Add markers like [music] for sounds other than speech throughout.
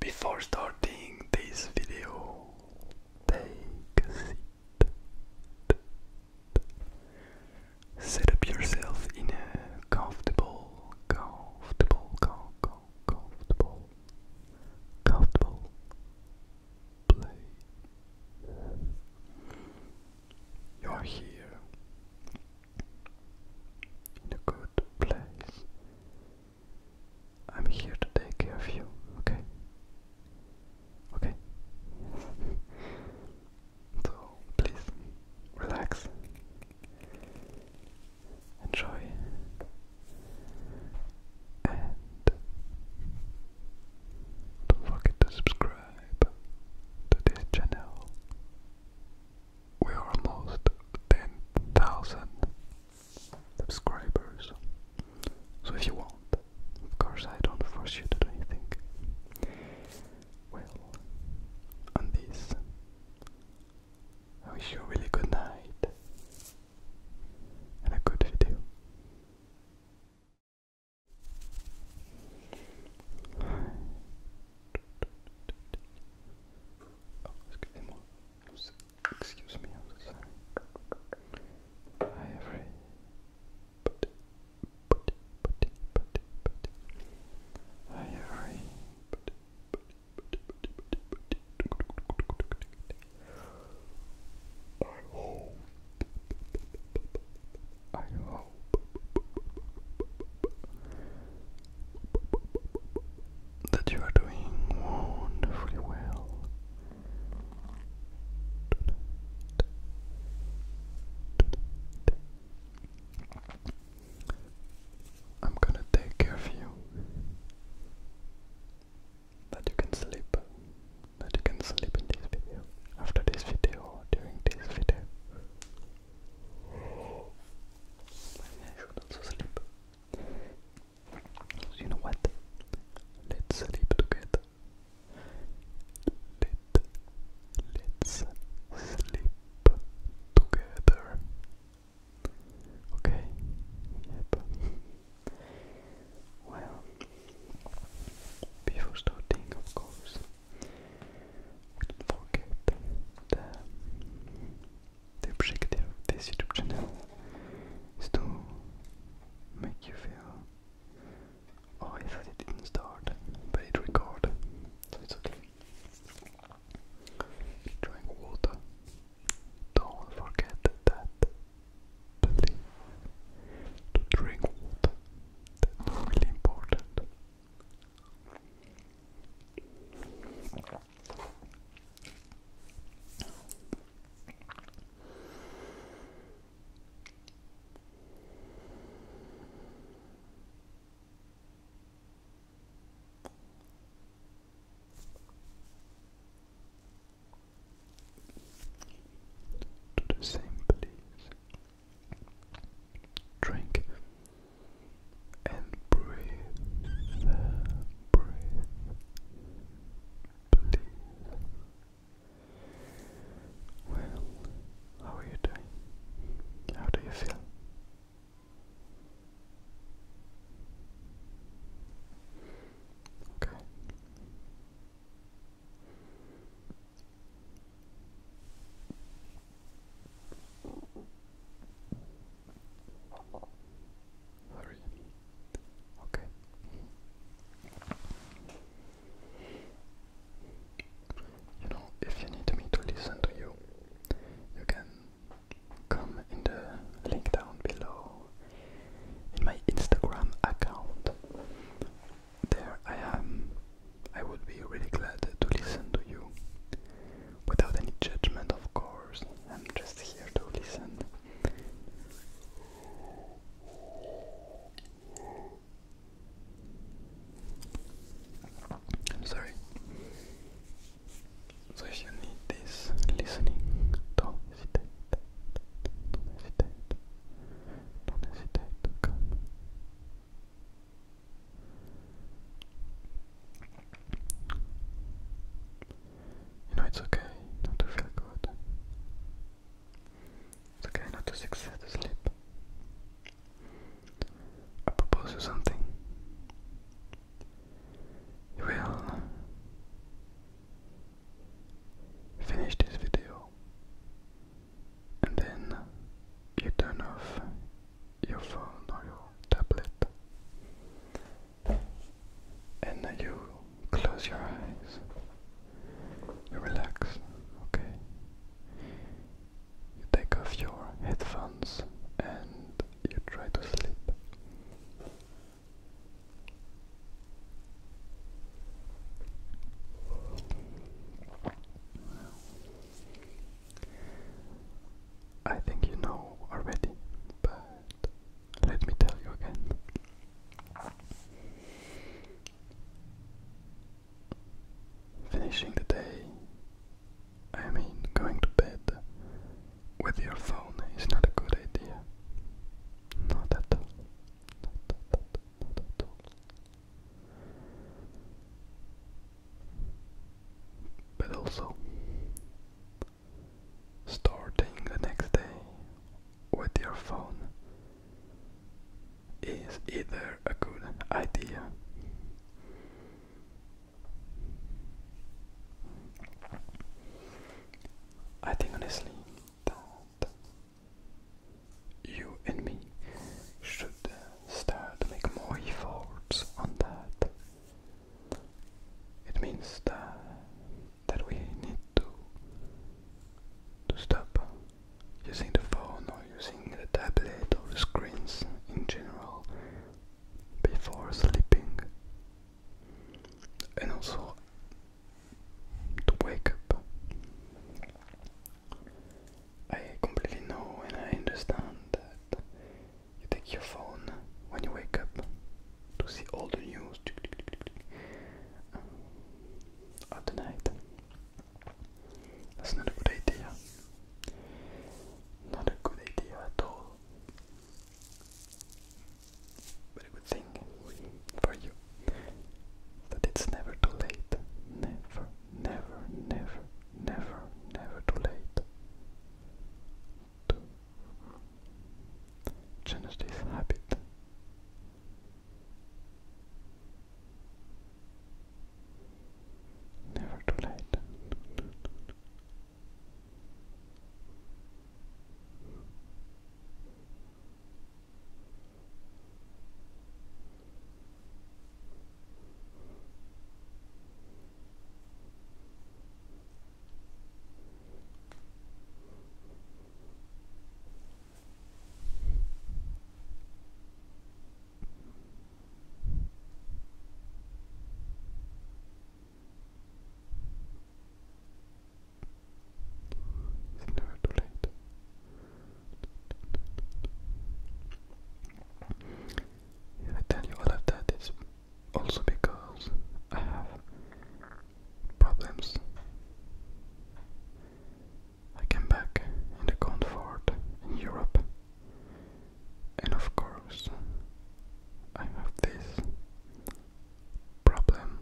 Before starting this video, take a seat. Set up yourself in a comfortable, comfortable, comfortable, comfortable, comfortable place. You are here in a good place. I'm here to take care of you, okay? Okay? [laughs] so, please, relax. Enjoy. And don't forget to subscribe to this channel. We are almost 10,000 subscribers. So if you want, of course I don't force you to do anything. Well, on this, I wish you a really good night and a good video. [sighs] Oh, excusez Excuse me, I'm sorry. Hi, everybody. Hi, everybody. I hope. I hope that you are doing wonderfully well I'm gonna take care of you that you can sleep that you can sleep in this video after this video during this video and should also sleep you know what? Let's sleep together. Let, let's sleep together. Okay? well, before starting, of course, forget the the objective of this YouTube channel is to make you feel oh I thought it didn't start but it recorded so it's okay drink water don't forget that please to drink water that's really important to the same place. Drink and breathe, breathe, please. Well, how are you doing? How do you feel? Okay. Hurry. Okay. You know, if you need me to listen to you, you can come in the link down below in my Instagram account. There I am. I would be really glad to listen to you without any judgment, of course. I'm just here to listen. sorry. So you need this listening, don't hesitate. Don't hesitate. Don't hesitate to come. You know, it's okay not to feel good. It's okay not to succeed to sleep. I propose you something. You will finish this video and then you turn off your phone or your tablet and then you close your eyes you relax okay you take off your headphones and you try to sleep I think you know already, but let me tell you again. Finishing the day, I mean going to bed with your phone is not a good idea. Not at all. Not at all. Not at all but also starting the next day with your phone is either a good idea I think honestly that you and me should start make more efforts on that. It means that that we need to to stop using the phone or using the tablet or the screens in general before sleeping and also to wake up I completely know and I understand that you take your phone when you wake up to see all the news uh, of the night. That's not a good idea. Not a good idea at all. But a good thing for you that it's never too late. Never, never, never never, never too late to change this habit. Never too late. It's never too late I tell you all of that, also because I have problems. I came back in the comfort in Europe, and of course, I have this problem,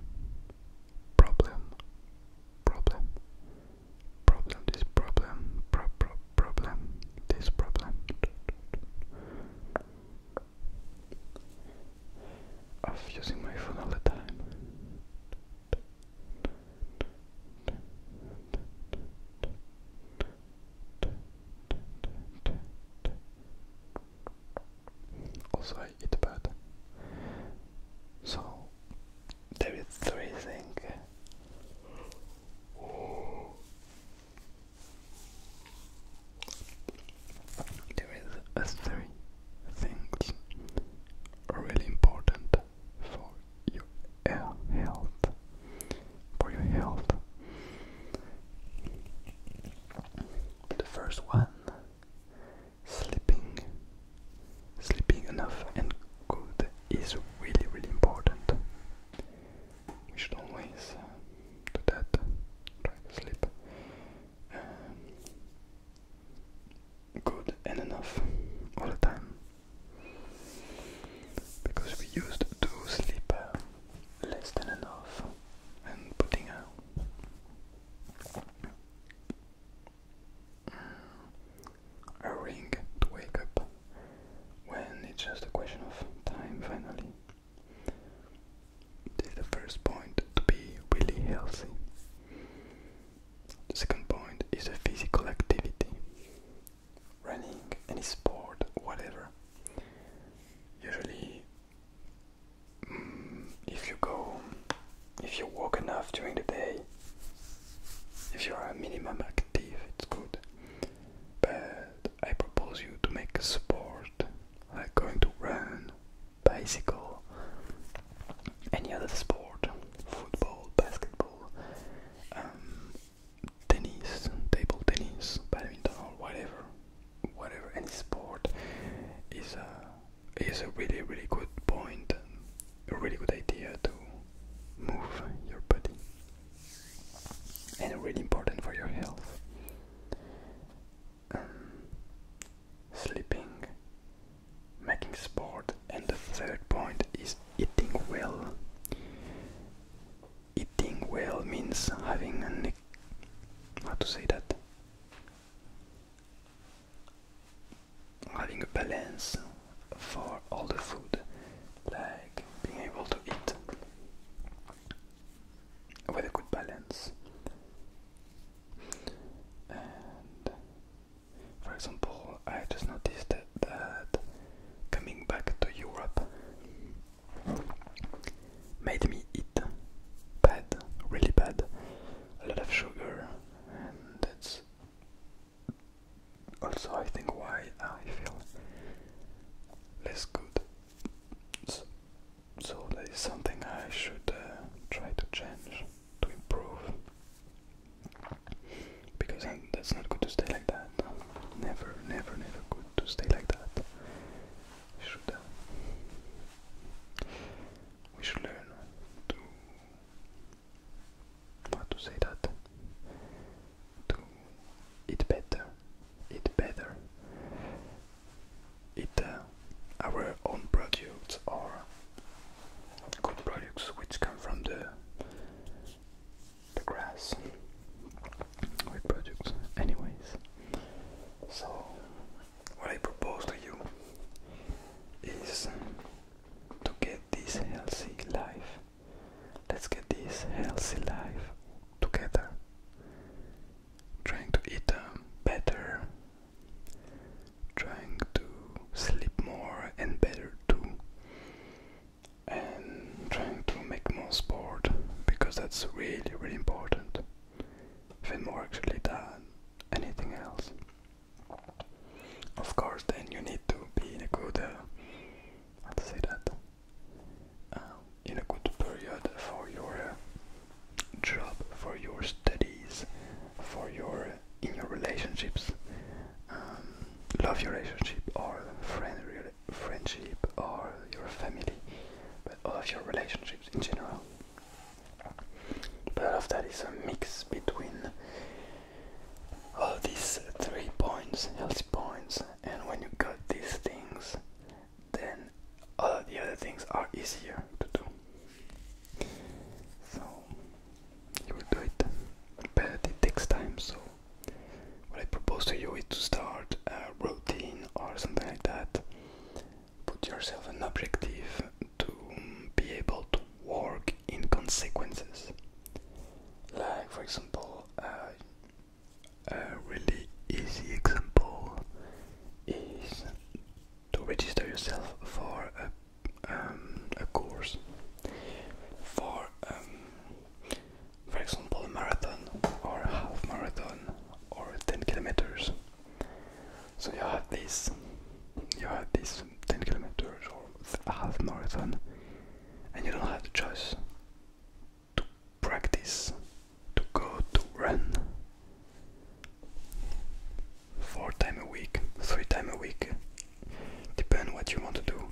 problem, problem problem, this problem, pro pro problem, this problem. Of using my phone all the time. Also, I eat bad. So, there is three things there is a three things really important for your health. For your health. The first one sleeping Sleeping enough and good is really, really important. We should always uh, do that. Try to sleep um, good and enough all the time. Because we used to sleep uh, less than enough and putting out a ring to wake up when it's just a question of time finally. This is the first point to be really healthy. second point is a physical activity. Running, any sport, whatever. Usually, mm, if you go, if you walk enough during the day, if you are minimum active, it's good. But I propose you to make a sport like going to run, bicycle, any other sport, football, basketball, um, tennis, table tennis, badminton, or whatever, whatever, any sport is a is a really really good point a really good idea to move your body and really important for your health. Um, sleeping, making sport, and the third point is eating well. Eating well means having an how to say that having a balance for all the food, like being able to eat with a good balance. And for example, I just noticed that, that coming back to Europe made me eat bad, really bad, a lot of sugar, and that's also I think why I feel less good. So, so that is something I should uh, try to change, to improve. Because I'm, that's not good to stay like that. Never, never, never good to stay like that. We should, uh, we should learn to how to say that to eat better eat better eat uh, our own products or good products which come from the the grass with products anyways so what I propose to you is to get this healthy life. Let's get this healthy life together. Trying to eat um, better, trying to sleep more and better too, and trying to make more sport because that's really, really important. Even more actually than anything else. Of course, then you need to be in a good, uh, how to say that, uh, in a good period for your uh, job, for your studies, for your in your relationships, um, love relationship or friend friendship or your family, but all of your relationships in general. Part of that is a mix between all these three points, healthy points, and when you got these things, then all the other things are easier to do. So you will do it, but it takes time. So what I propose to you is to start a routine or something like that. Put yourself an objective to be able to work in consequences. Like, for example, a really easy example is to register yourself for a, um, course. For, um, for example, a marathon or a half marathon or 10 kilometers. So you have this, you have these 10 kilometers or half marathon, and you don't have the choice to practice, to go to run four times a week, three times a week, depend what you want to do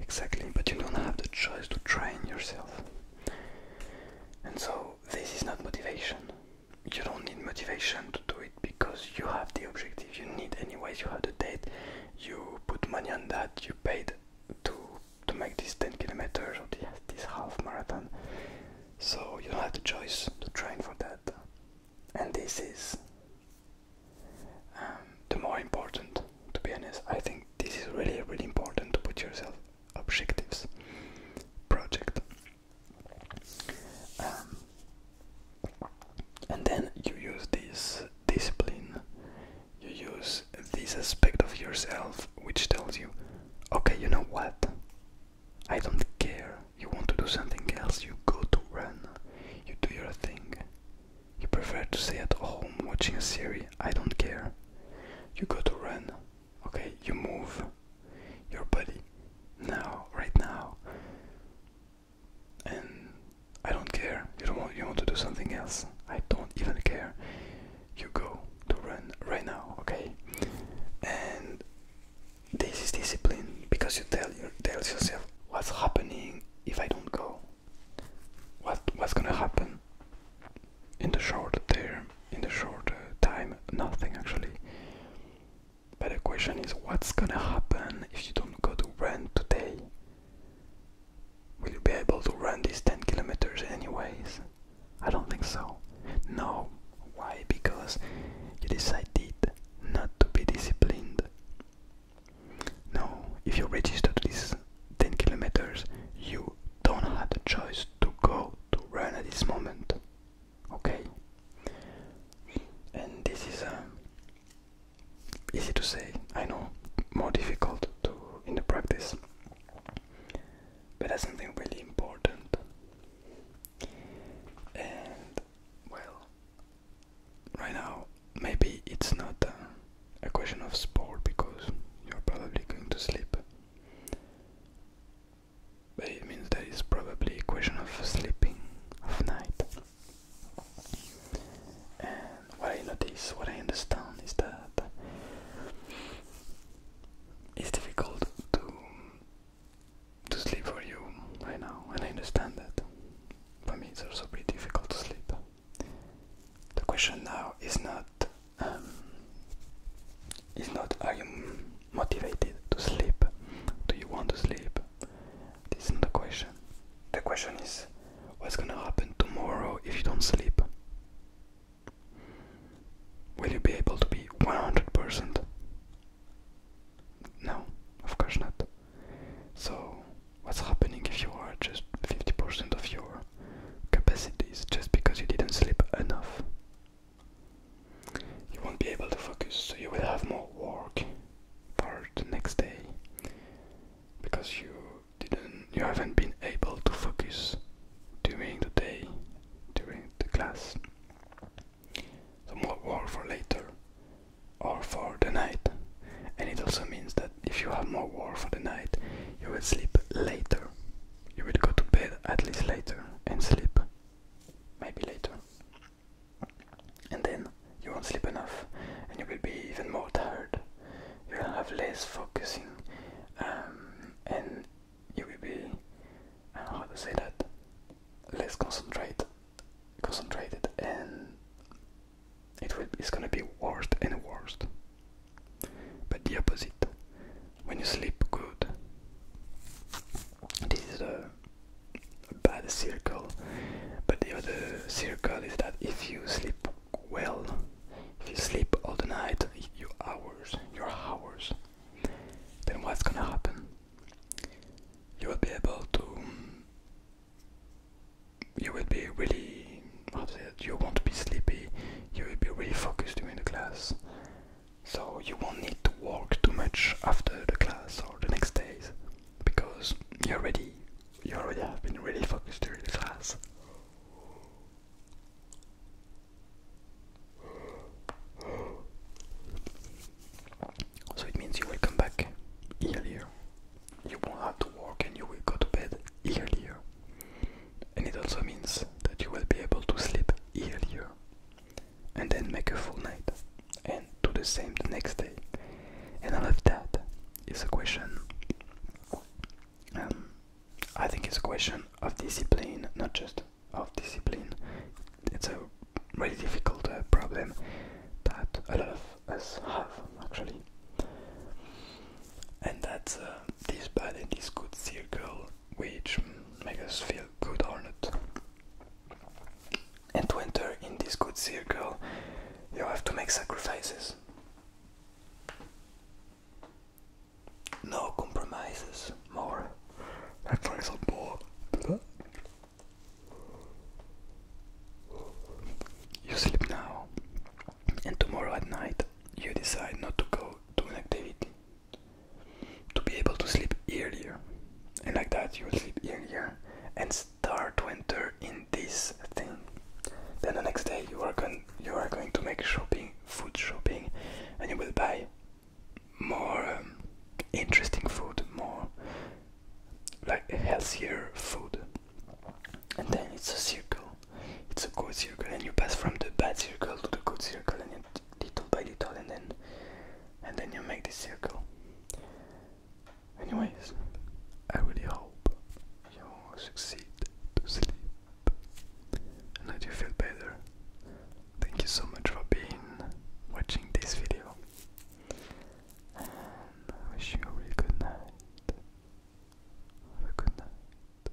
exactly, but you don't have the choice to train yourself. And so this is not motivation you don't need motivation to do it because you have the objective you need anyways you have the date you put money on that you paid to to make this 10 kilometers or this half marathon so you don't have the choice to train for that and this is um, the more important to be honest i think this is really really important to put yourself objectives project um, and then you use this discipline, you use this aspect of yourself which tells you, okay, you know what? I don't care. You want to do something else, you go to run, you do your thing. You prefer to stay at home watching a series, I don't care. You go to run, okay, you move, your body now, right now. And I don't care. You don't want you want to do something else. I don't even care. You go to run right now, okay? And this is discipline because you tell you tell yourself what's happening if I don't go. What what's gonna happen in the short term, in the short uh, time? Nothing actually. But the question is what's gonna happen if you don't go to run today? Will you be able to run these 10 kilometers anyways? I don't think so. No. Why? Because you decided not to be disciplined. No, if you register to these 10 kilometers, you don't have the choice to go to run at this moment okay and this is um, easy to say i know more difficult to in the practice but that's something really important and well right now maybe it's not uh, a question of sport because you're probably going to sleep but it means that it's probably a question of sleeping of night. And what I notice, what I understand is that it's difficult to to sleep for you right now, and I understand that. For me, it's also pretty difficult to sleep. The question now is not um, is not are you motivated to sleep? Do you want to sleep? This isn't the question. The question is what's gonna happen tomorrow if you don't sleep? Will you be able to be 100%? No, of course not. So, what's happening if you are just 50% of your capacities just because you didn't sleep enough? You won't be able to focus, so you will have more work for the next day because you didn't you haven't been able to focus during the day during the class. Some more work for later or for the night. And it also means that if you have more work for the night, you will sleep later. You will go to bed at least later and sleep maybe later. And then you won't sleep enough and you will be even more tired. You will have less focusing um, and you will be, uh, how to say that, less concentrate, concentrated and it will, it's gonna be worse and worse. But the opposite when you sleep good. This is a bad circle, but the other circle is that if you sleep well, if you sleep all the night, your hours, your hours, then what's gonna happen? You will be able to. You will be really. How it? You won't be sleepy. You will be really focused during the class, so you won't need to work too much after the class or the next days because you already you already have been really focused during the class. So it means you will come back earlier. You won't have to work and you will go to bed earlier. And it also means that you will be able to sleep earlier and then make a full night and do the same the next day. And all of that is a question. Um, I think it's a question of discipline, not just of discipline. It's a really difficult uh, problem that a lot of us have actually, and that's uh, this bad and this good circle which makes us feel a good hornet. And to enter in this good circle, you have to make sacrifices. No compromises, more. That brings up more. You sleep now, and tomorrow at night you decide not to go to an activity to be able to sleep earlier. And like that, you will sleep earlier and start to enter in this thing. Then the next day, you are going you are going to make shopping, food shopping, and you will buy more um, interesting food, more like healthier food. And then it's a circle. It's a good circle, and you pass from the bad circle to the good circle, and little by little and then and then you make this circle anyways i really hope you succeed to sleep and that you feel better thank you so much for being watching this video and i wish you a really good night have a good night